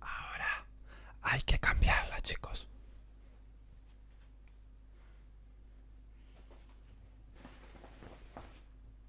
Ahora hay que cambiarla, chicos.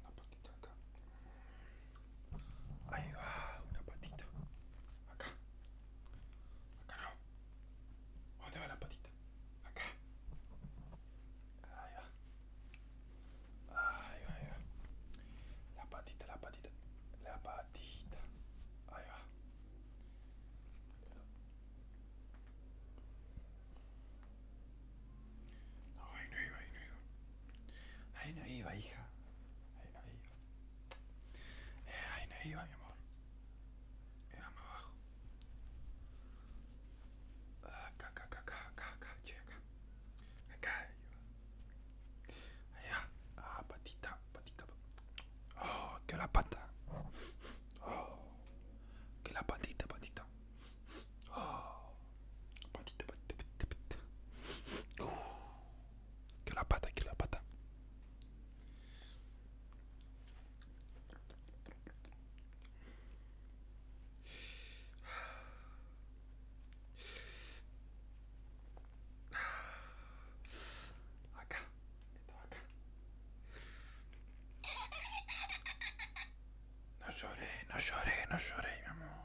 una patita acá. Ay, va, una patita. Acá. Acá va la patita? Acá. La patita, la patita. La patita. va. No, ahí no iba, ahí no iba. Ahí no iba, hija. Ahí no iba. Eh, ahí no iba, mi amor. Mirame abajo. Ah, acá, acá, acá, acá, acá, acá, che, acá. Acá iba. Ah, patita, patita. Oh, que la pata. Oh, que la patita, patita. Oh, que la pata, que la pata. No lloré, no lloré, no lloré, amor.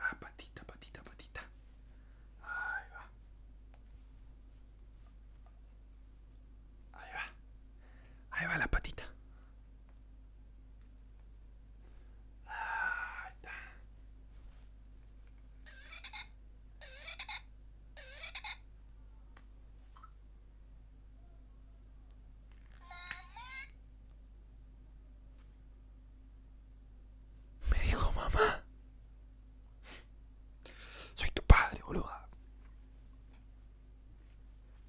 Ah, patita, patita, patita. Ahí va. Ahí va. Ahí va la patita. Me dijo mamá. Soy tu padre, boluda.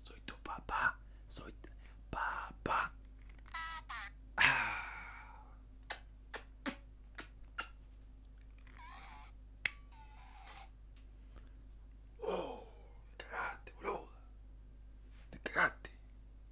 Soy tu papá. Soy papá. Ah. Oh, te cagaste, boluda. Te cagaste.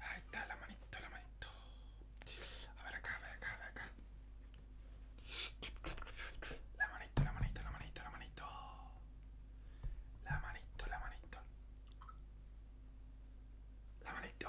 Ahí está la manito, la manito. A ver acá, a acá, a acá. La manito, la manito, la manito, la manito. La manito, la manito. La manito.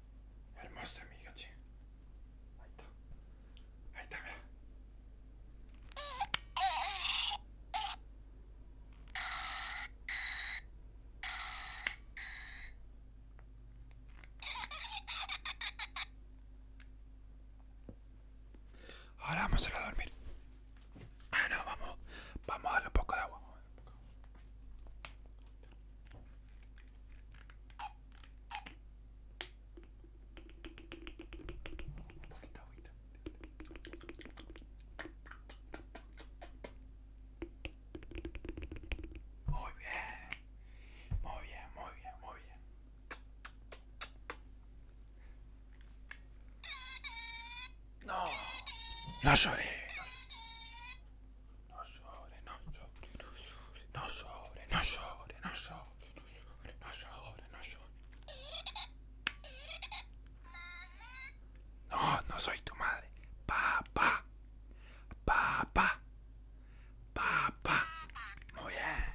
hermosa mijo ching ahí está ahí está ahora vamos a dormir ah no vamos vamos a darle un poco de agua Muy bien, muy bien, muy bien, muy bien. No, no lloré. no sobre, no sobre, no sobre, no sobre, no sobre, no sobre, no sobre, no No, no soy tu madre. Papá, papá, papá. Muy bien.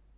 La de